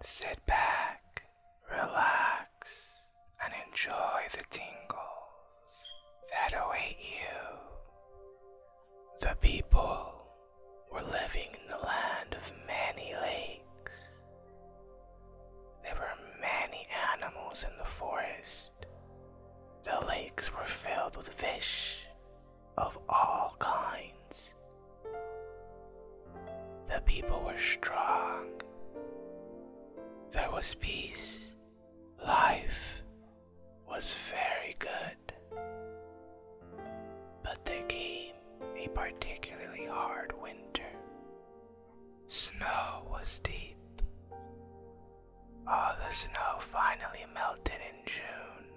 Sit back, relax, and enjoy the tingles that await you. The people were living in the land of many lakes there were many animals in the forest. The lakes were filled with fish of all kinds. The people were strong. There was peace. Life was very good. But there came a particularly hard winter. Snow was deep. All the snow finally melted in June.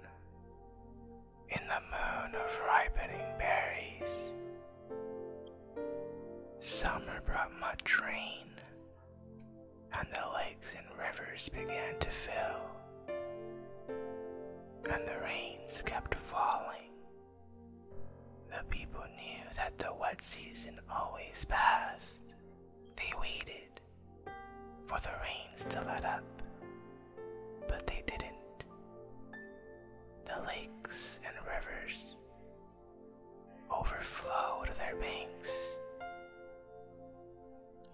In the moon of ripening berries. Summer brought much rain, and the lakes and rivers began to fill, and the rains kept falling the people knew that the wet season always passed. They waited for the rains to let up, but they didn't. The lakes and rivers overflowed their banks,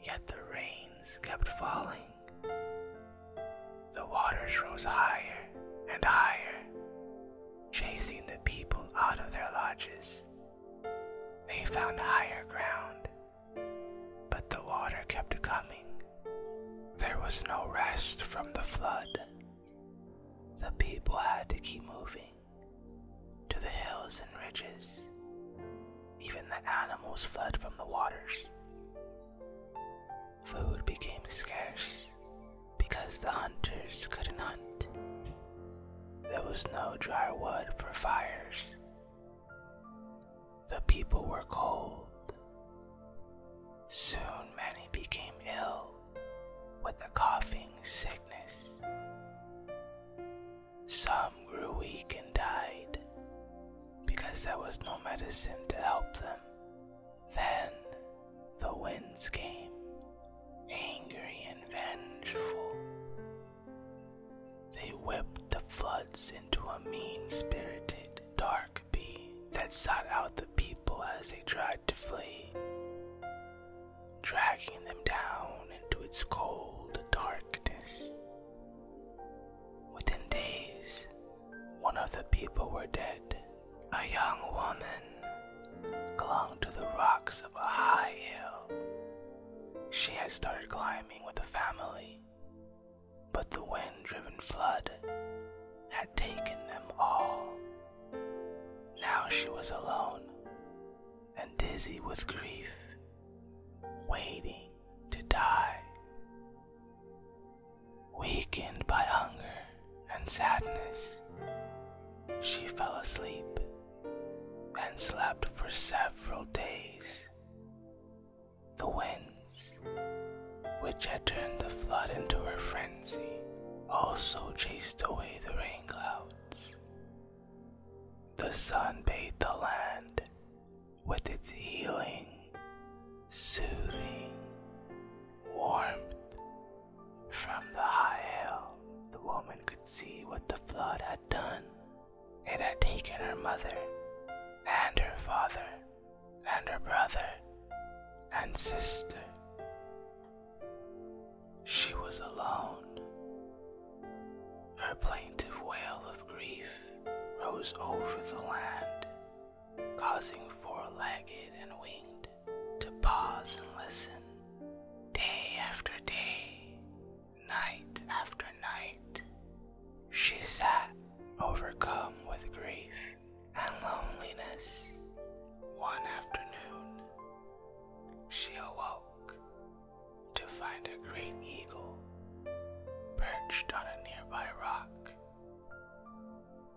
yet the rains kept falling. The waters rose higher and higher chasing the people out of their lodges. They found higher ground, but the water kept coming. There was no rest from the flood. The people had to keep moving to the hills and ridges. Even the animals fled from the waters food became scarce because the hunters couldn't hunt. There was no dry wood for fires. The people were cold. Soon many became ill with a coughing sickness. Some grew weak and died because there was no medicine to help them. Then the winds came, angry and vengeful. They whipped the floods into a mean spirited, dark bee that sought out the people as they tried to flee, dragging them down into its cold darkness. Within days, one of the people were dead, a young woman clung to the rocks of a high hill. She had started climbing with the family, but the wind driven flood had taken them all. Now she was alone and dizzy with grief, waiting to die. Weakened by hunger and sadness, she fell asleep and slept for several days. The winds, which had turned the flood into her frenzy, also chased away the rain clouds. The sun bathed the land with its healing soothing warmth from the high hill. The woman could see what the flood had done. It had taken her mother, and her father, and her brother, and sister. She was alone. Her plaintive wail of grief rose over the land causing four-legged and winged to pause and listen day after day, night after night. She sat overcome with grief and loneliness. One afternoon, she awoke to find a great eagle perched on a nearby rock.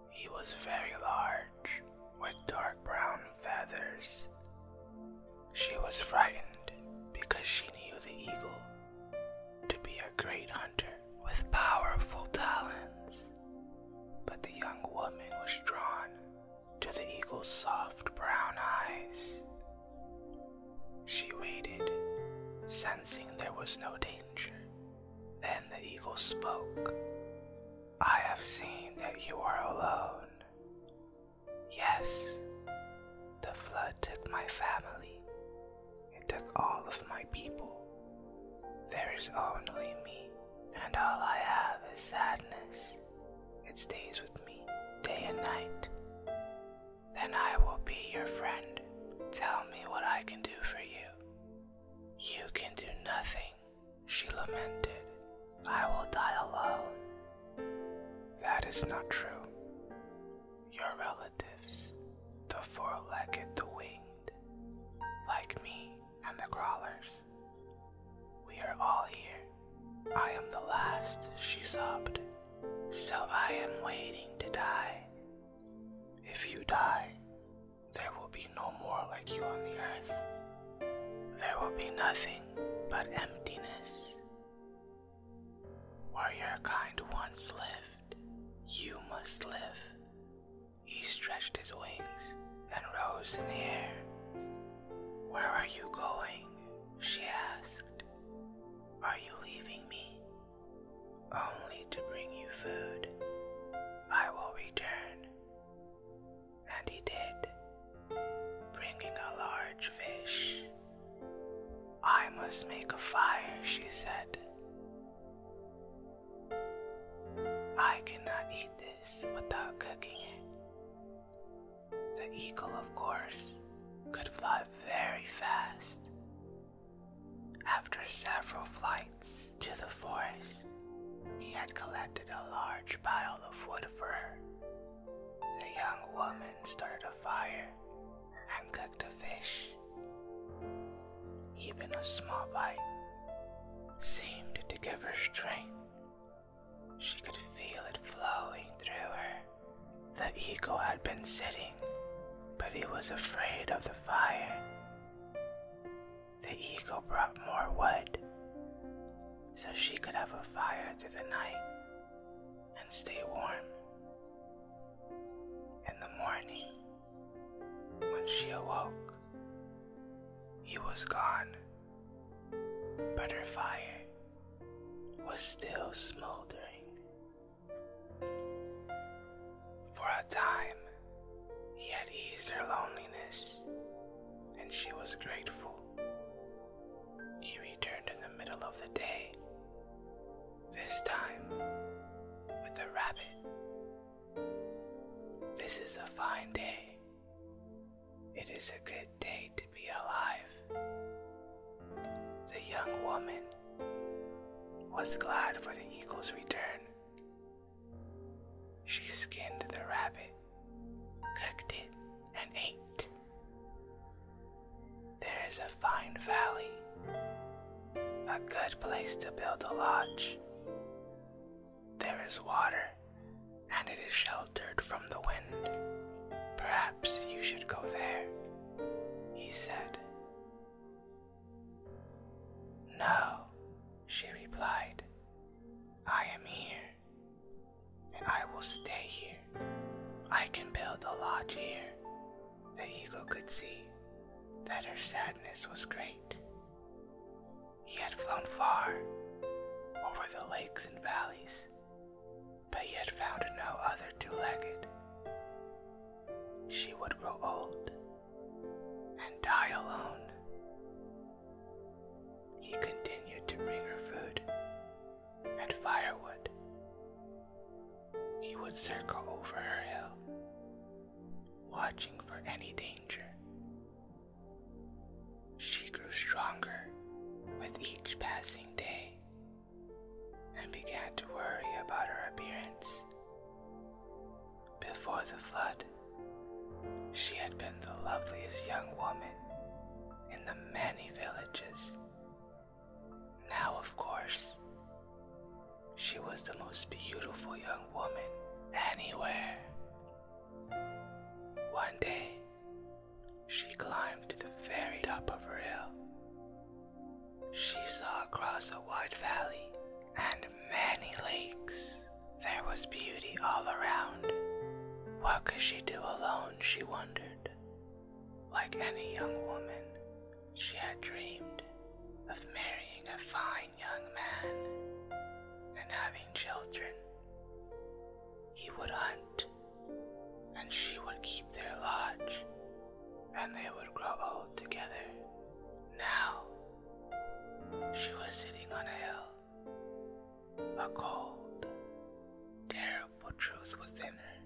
He was very large, with dark brown feathers. She was frightened because she knew the eagle to be a great hunter with powerful talons. But the young woman was drawn to the eagle's soft brown eyes. She waited, sensing there was no danger. Then the eagle spoke. I have seen that you are alone. Yes, the flood took my family, it took all of my people. There is only me, and all I have is sadness. It stays with me day and night. Then I will be your friend tell me what I can do for you. You can do nothing, she lamented. I will die alone. That is not true. Your relatives, the four legged, the winged, like me and the crawlers, we are all here. I am the last, she sobbed. So I am waiting to die if you die, there will be no more like you on the earth. There will be nothing but emptiness. Where your kind once lived, you must live. He stretched his wings and rose in the air. Where are you going? She asked. Are you leaving me? Only to bring you food. I will return. And he did, bringing a large fish. I must make a fire, she said. I cannot eat this without cooking it. The eagle, of course, could fly very fast, after several flights to the forest, he had collected a large pile of wood for her. The young woman started a fire and cooked a fish. Even a small bite seemed to give her strength. She could feel it flowing through her. The eagle had been sitting, but he was afraid of the fire. The eagle brought more wood so she could have a fire through the night and stay warm. In the morning, when she awoke, he was gone, but her fire was still smoldering. For a time, he had eased her loneliness, and she was grateful. He returned in the middle of the day, this time with a rabbit. This is a fine day. It is a good day to be alive. The young woman was glad for the eagle's return. She skinned the rabbit, cooked it, and ate. There is a fine valley, a good place to build a lodge. There is water, and it is sheltered from the wind. Perhaps Perhaps you should go there, he said. No, she replied. I am here, and I will stay here. I can build a lodge here. The eagle could see that her sadness was great. He had flown far over the lakes and valleys but yet found no other two legged. She would grow old and die alone. He continued to bring her food and firewood. He would circle over her hill, watching for any danger. She grew stronger with each passing day and began to worry about her appearance. Before the flood, she had been the loveliest young woman in the many villages. Now, of course, she was the most beautiful young woman anywhere. One day, she climbed to the very top of her hill. She saw across a wide valley and many lakes. There was beauty all around. What could she do alone, she wondered. Like any young woman, she had dreamed of marrying a fine young man and having children. He would hunt and she would keep their lodge, and they would grow old together. Now, she was sitting on a hill, a cold, terrible truth was in her.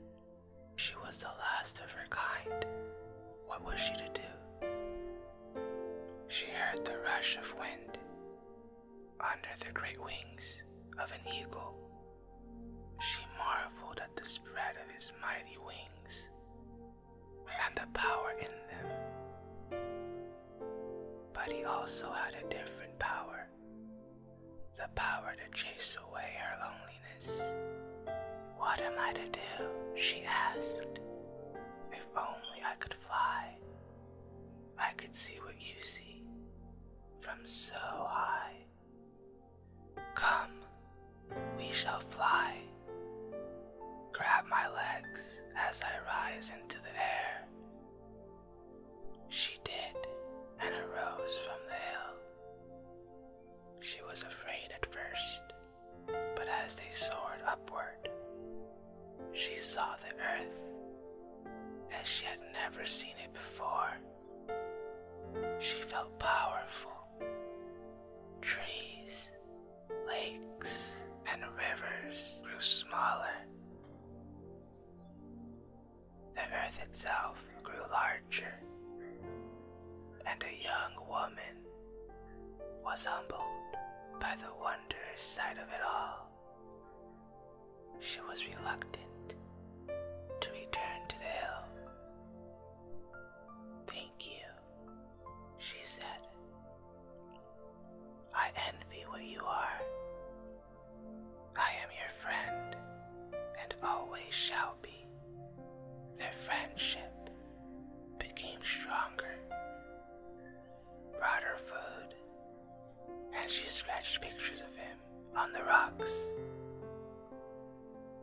She was the last of her kind. What was she to do? She heard the rush of wind under the great wings of an eagle. She marveled at the spread of his mighty wings and the power in them. But he also had a different power the power to chase away her loneliness. What am I to do? she asked. If only I could fly, I could see what you see, from so high. Come, we shall fly. Grab my legs as I rise into the air. She did and arose from the hill. She was afraid at first, but as they soared upward, she saw the earth as she had never seen it before. She felt powerful. Trees, lakes, and rivers grew smaller. The earth itself grew larger, and a young woman was humbled by the wondrous sight of it all she was reluctant to return to the hill. Thank you, she said. I envy what you are. I am your friend and always shall be. Their friendship became stronger. Brought her food and she scratched pictures of him on the rocks.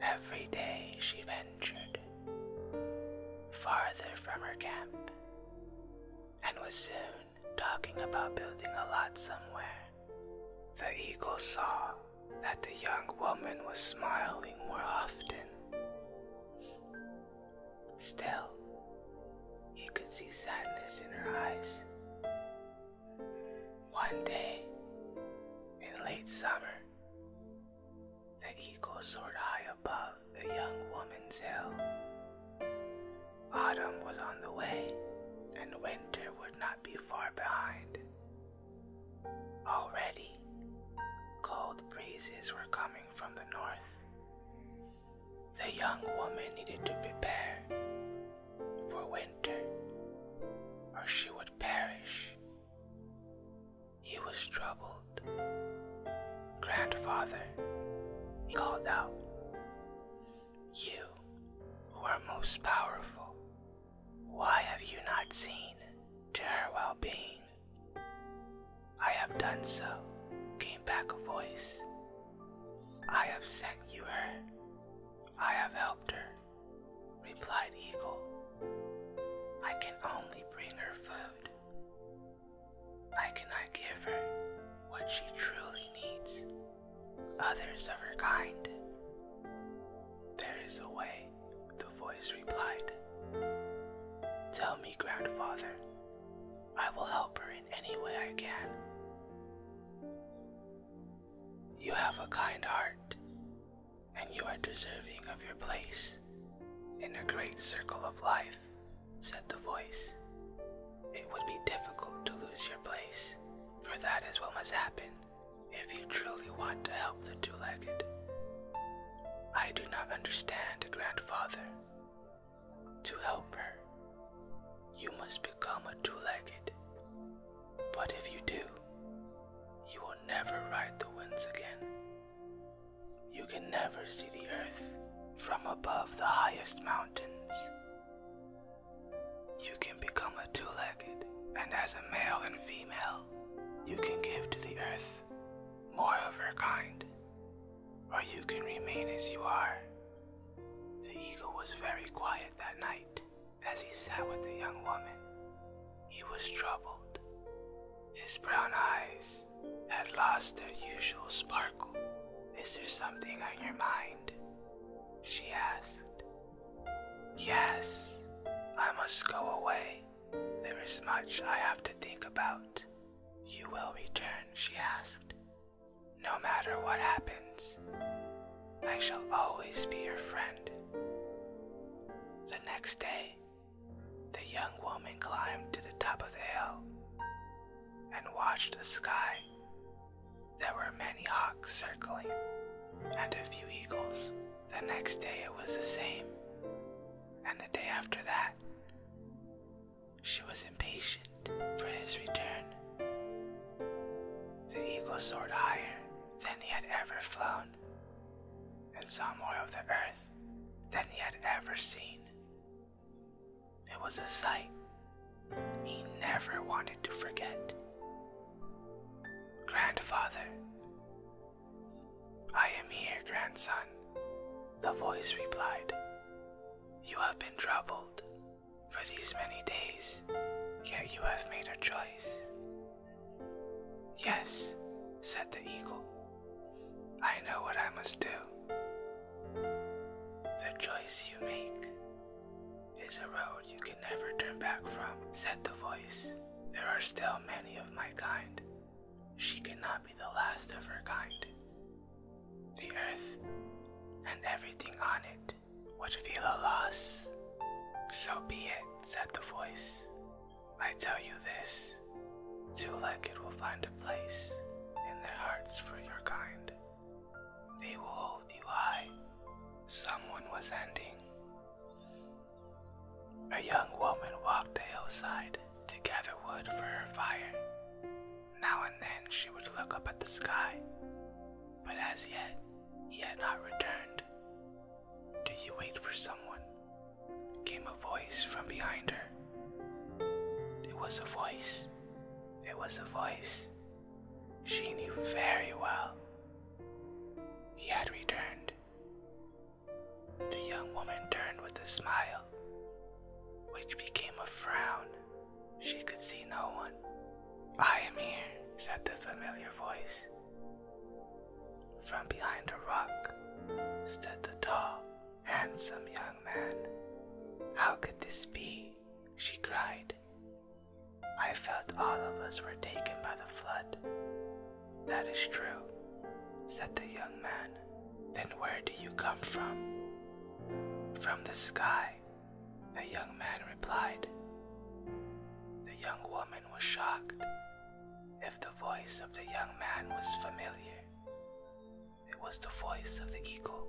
Every day she ventured farther from her camp and was soon talking about building a lot somewhere. The eagle saw that the young woman was smiling more often. Still, he could see sadness in her eyes. One day, in late summer, the eagle soared high above the young woman's hill. Autumn was on the way, and winter would not be far behind. Already, cold breezes were coming from the north, the young woman needed to prepare for winter, or she would perish. He was troubled. Grandfather, he called out, You, who are most powerful, why have you not seen to her well being? I have done so, came back a voice I have sent you her. I have helped her, replied Eagle. I can only bring her food. I cannot give her what she truly needs, others of her kind. There is a way, the voice replied. Tell me, grandfather, I will help her any way I can. You have a kind heart, and you are deserving of your place in the great circle of life, said the voice. It would be difficult to lose your place, for that is what must happen if you truly want to help the two legged. I do not understand, grandfather, to help her, you must become a two legged. But if you do, you will never ride the winds again. You can never see the earth from above the highest mountains. You can become a two legged, and as a male and female, you can give to the earth more of her kind or you can remain as you are. The eagle was very quiet that night as he sat with the young woman. He was troubled. His brown eyes had lost their usual sparkle. Is there something on your mind? She asked. Yes, I must go away. There is much I have to think about. You will return, she asked. No matter what happens, I shall always be your friend. The next day, the young woman climbed to the top of the hill and watched the sky. There were many hawks circling and a few eagles. The next day it was the same, and the day after that, she was impatient for his return. The eagle soared higher than he had ever flown, and saw more of the earth than he had ever seen. It was a sight he never wanted to forget. Grandfather, I am here, grandson, the voice replied. You have been troubled for these many days, yet you have made a choice. Yes, said the eagle, I know what I must do. The choice you make is a road you can never turn back from, said the voice. There are still many of my kind she cannot be the last of her kind. The earth and everything on it would feel a loss. So be it, said the voice. I tell you this, two legged will find a place in their hearts for your kind. They will hold you high. Someone was ending. A young woman walked the hillside to gather wood for her fire. Now and then she would look up at the sky, but as yet he had not returned. Do you wait for someone? came a voice from behind her. It was a voice. It was a voice. She knew very well. He had returned. The young woman turned with a smile, which became a frown. She could see no one. I am here, said the familiar voice. From behind a rock stood the tall, handsome young man. How could this be? she cried. I felt all of us were taken by the flood. That is true, said the young man. Then where do you come from? From the sky, the young man replied. The young woman was shocked. If the voice of the young man was familiar, it was the voice of the eagle.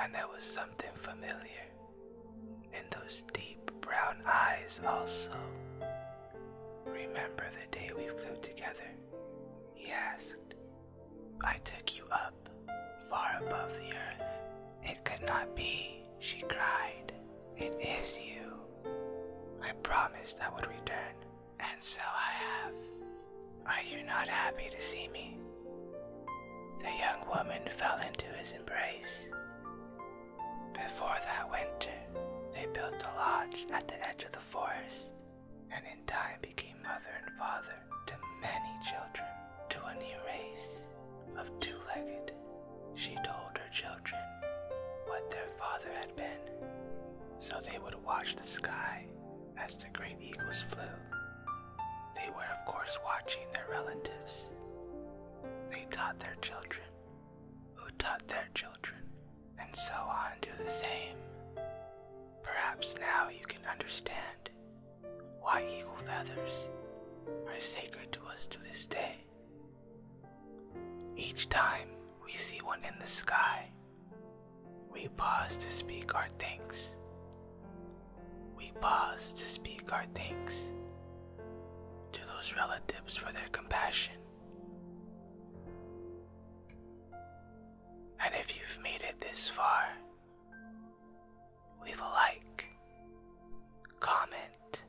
And there was something familiar in those deep brown eyes also. Remember the day we flew together? He asked. I took you up, far above the earth. It could not be, she cried. It is you. I promised I would return, and so I have. Are you not happy to see me? The young woman fell into his embrace. Before that winter, they built a lodge at the edge of the forest, and in time became mother and father to many children, to a new race of two legged. She told her children what their father had been, so they would watch the sky as the great eagles flew. They were, of course, watching their relatives. They taught their children who taught their children, and so on do the same. Perhaps now you can understand why eagle feathers are sacred to us to this day. Each time we see one in the sky, we pause to speak our thanks. We pause to speak our thanks to those relatives for their compassion and if you've made it this far, leave a like, comment,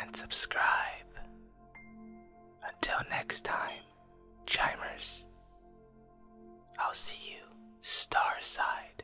and subscribe. Until next time, Chimers, I'll see you star side.